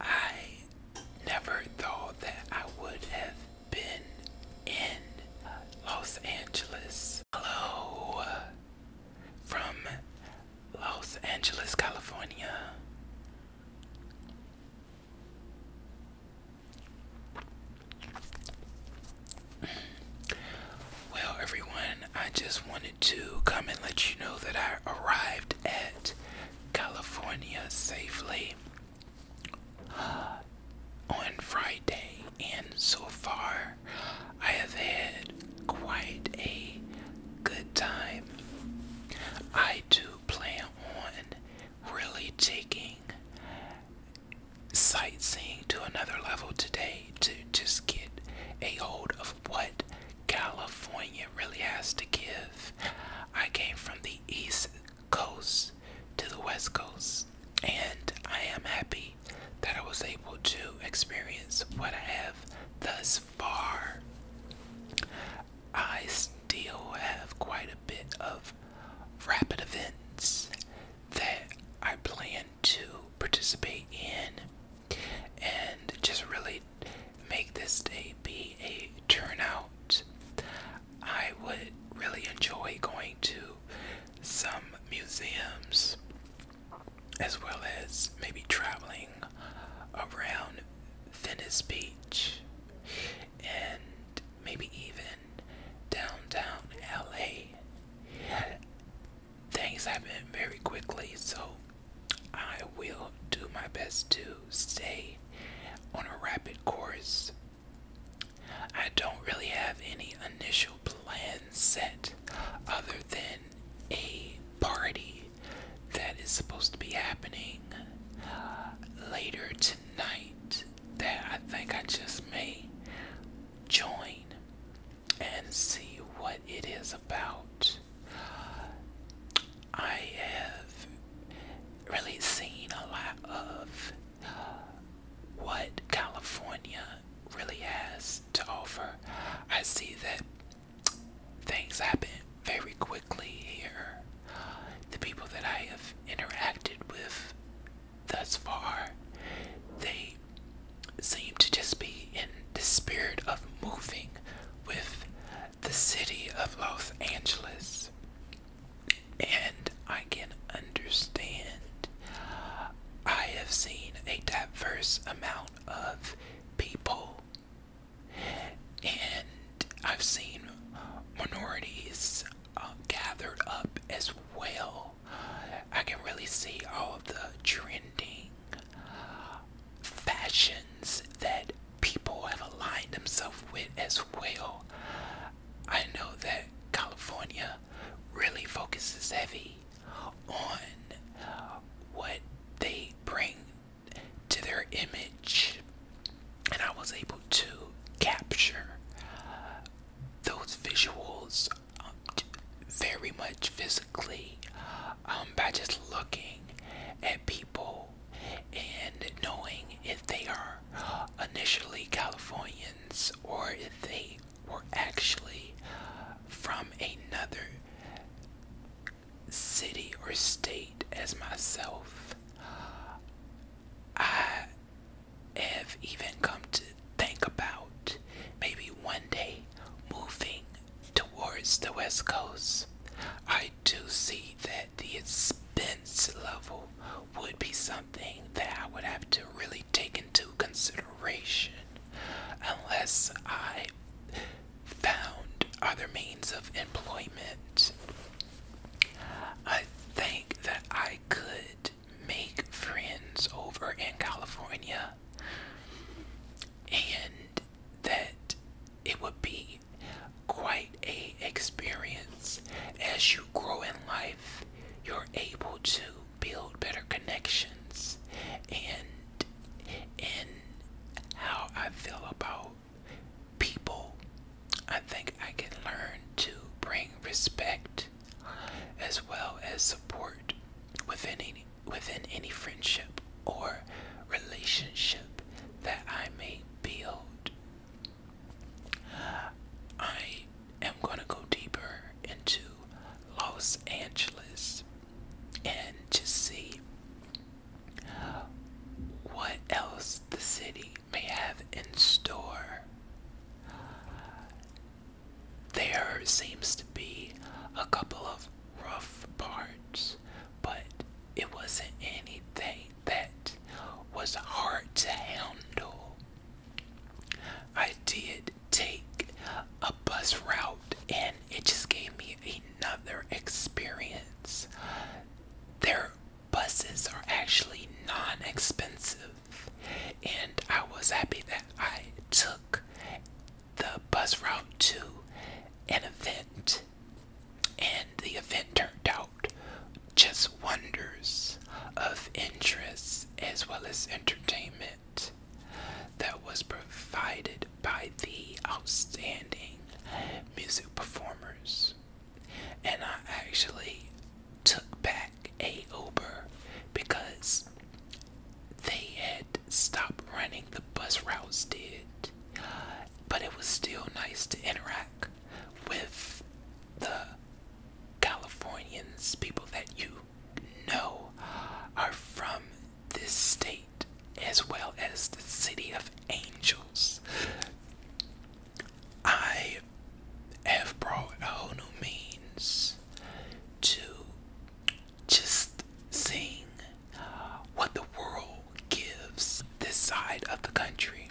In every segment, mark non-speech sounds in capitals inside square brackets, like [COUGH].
I never thought that I would have been in Los Angeles. Hello from Los Angeles, California. Well, everyone, I just wanted to come and let you know that I arrived at California safely [SIGHS] on Friday, and so far I have had quite a good time. I do plan on really taking sightseeing to another level today to just get a hold of what California really has to give. I came from the East Coast to the West Coast, and I am happy that I was able to experience what I have thus far. I still have quite a bit of rapid events that I plan to participate in and just really make this day be a turnout. I would really enjoy going to some museums as well as maybe traveling around Venice Beach and maybe even downtown LA. Things happen very quickly, so I will do my best to stay on a rapid course. I don't really have any initial plan set other than a party that is supposed to be happening uh, later tonight that I think I just may join and see what it is about. I have really seen a lot of what California really has to offer. I see that things happen very quickly here. The people that I have interacted with thus far, they seem to just be in the spirit of moving with the city of Los Angeles. And I can understand. I have seen a diverse amount of people, and I've seen minorities uh, gathered up as well. I can really see all of the trending fashions that people have aligned themselves with as well. I know that California really focuses heavy on what they bring to their image, and I was able to capture those visuals um, very much physically um, by just looking at people and knowing if they are initially Californians or if they were actually from another city or state as myself. I have even come to think about maybe one day moving towards the west coast, I do see that the expense level would be something that I would have to really take into consideration unless I found other means of employment. I think that I could make friends over in California and that it would be quite a experience as you grow in life you're able to build better connections and in how I feel about people I think I can learn to bring respect as well as support within any within any friendship or relationship that I may build. I am going to go deeper into Los Angeles and to see what else the city may have in store. There seems to be a couple of rough parts, but it wasn't anything that was hard to handle. I did take a bus route and it just gave me another experience. Their buses are actually non expensive, and I was happy that I took the buzz route to an event, and the event turned out just wonders of interest as well as entertainment that was provided by the outstanding music performers. And I actually took back a Uber because they had stopped running, the bus routes did. But it was still nice to interact with the Californians, people that you know are from this state as well as the city of angels. I have brought a whole new means to just seeing what the world gives this side of the country.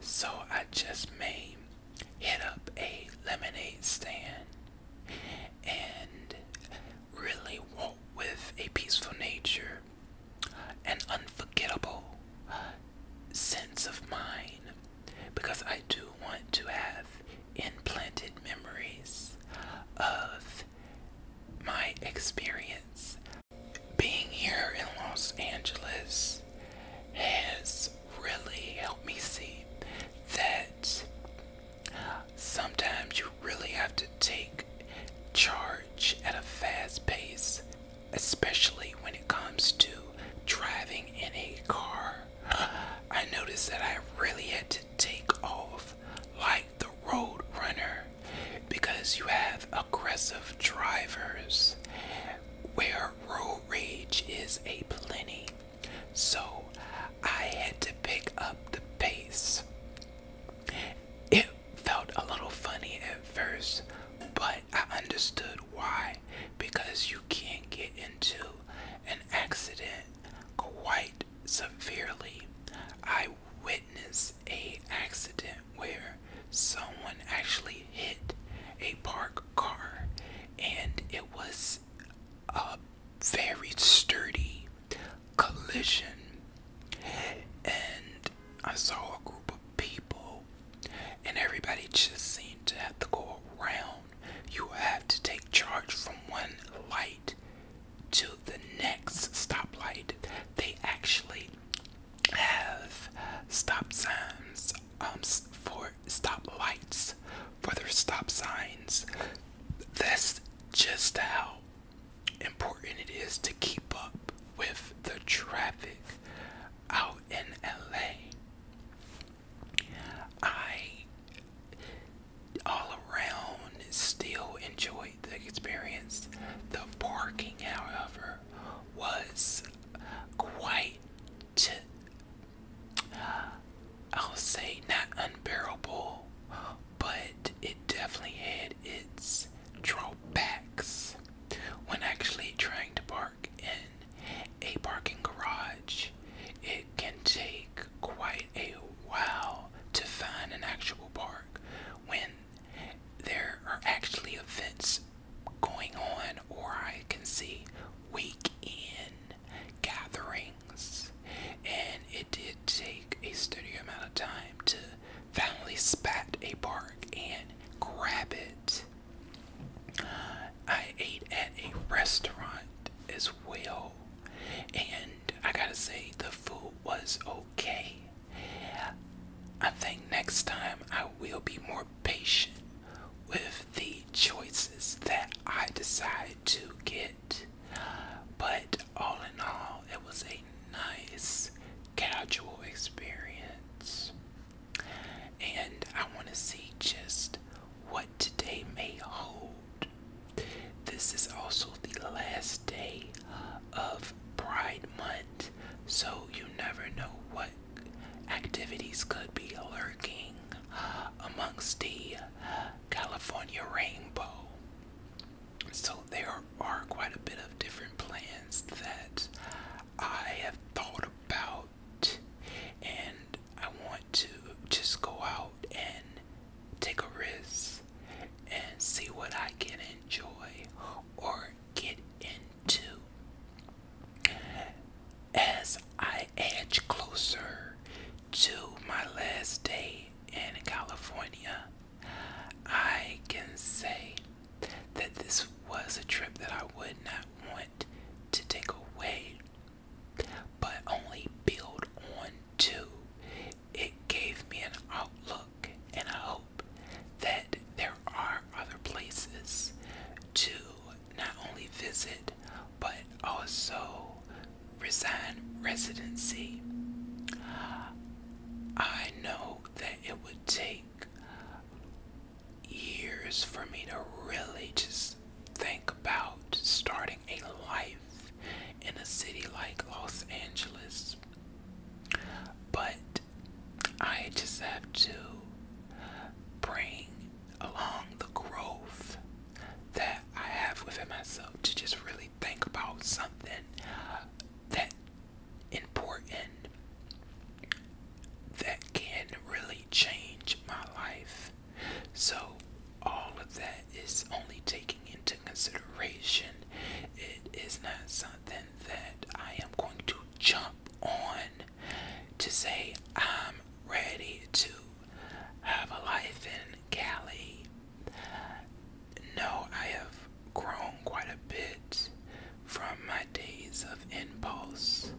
So I just may hit up a lemonade stand and really walk with a peaceful nature, an unforgettable sense of mind, because I do want to have implanted memories of my experience. Being here in Los Angeles has really helped me see that sometimes you really have to take charge at a fast pace, especially when it comes to driving in a car I noticed that I really had to take off like the road runner because you have aggressive drivers where road rage is a plenty. So I had to pick up the pace. It felt a little funny at first, but I understood why because you can't get into an accident quite severely. I witnessed a accident where someone actually hit a parked car and it was a very sturdy collision and I saw a group of people and everybody just seemed to have to go around you have to take charge from one light to the next stoplight. They actually have stop signs um, for stoplights lights for their stop signs. That's just how important it is to keep up with the traffic out in LA, I all around still enjoyed the experience. The parking, however, was quite, I'll say, not unbearable, but it definitely had its drawbacks when actually trying to park in a parking garage, it can take quite a while to find an actual park when there are actually events going on, or I can see week in gatherings. And it did take a steady amount of time to finally spot a park and grab it. I ate at a restaurant as well, and I gotta say, the food was okay. I think next time I will be more patient with the choices that I decide to get. But all in all, it was a nice, casual experience. And I want to see just what today may hold. This is also the last day of Pride Month, so you never know what activities could be lurking amongst the California rainbow. So, there are quite a bit of different plans that I have thought about and I want to just go out and take a risk and see what I can enjoy or get into. As I edge closer to my last day in California, I can say that this was a trip that I would not want to take away, but only build on Too, It gave me an outlook and a hope that there are other places to not only visit but also resign residency. I know that it would take years for me to really just think about starting a life in a city like Los Angeles. But I just have to bring along the growth that I have within myself to just really think about something that important that can really change my life. So, all of that is only taking into consideration. It is not something that I am going to jump on to say I'm ready to have a life in Cali. No, I have grown quite a bit from my days of impulse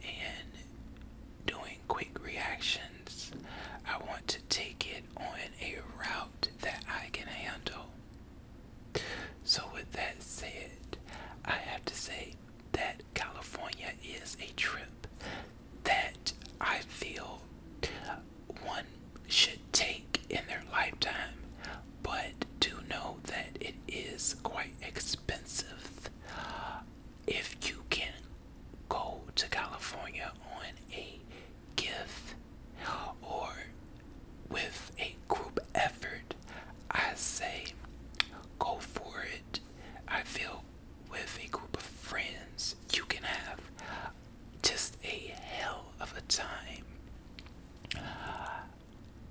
and doing quick reactions. I want to take it on a route that I can handle. So, with that said, I have to say that California is a trip that I feel one should take in their lifetime but do know that it is quite expensive. If you can go to California on a gift or with a group effort, I say go for it. I feel with a group of friends, you can have just a hell of a time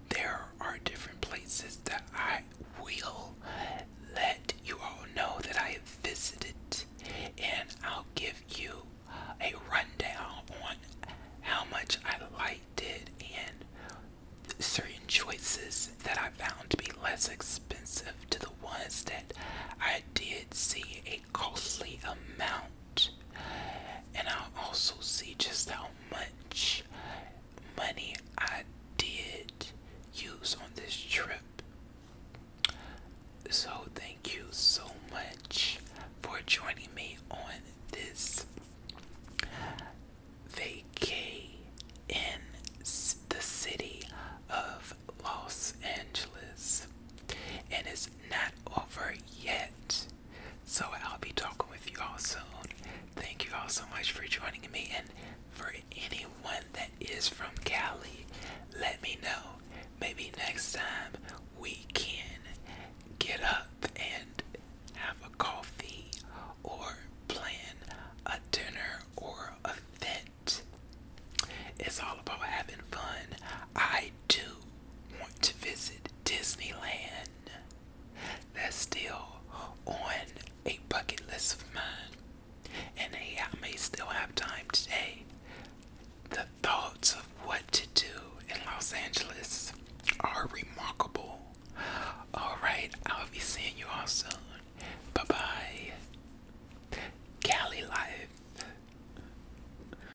there are different places that I will let you all know that I have visited, and I'll give you a rundown on how much I liked it and certain choices that I found to be less expensive to the ones that I did see a costly amount and I'll also see just how much money I did use on this trip. So, thank you so much for joining me on this vacay in the city of Los Angeles. And it's not over yet. So I'll be talking with you all soon. Thank you all so much for joining me. And for anyone that is from Cali, let me know. Maybe next time we can get up and have a coffee or plan a dinner or event. It's all about having fun. I do want to visit Disneyland. That's still on a bucket list of mine. And I may still have time today. The thoughts of what to do in Los Angeles are remarkable. Alright, I'll be seeing you all soon. Bye bye. Cali Life.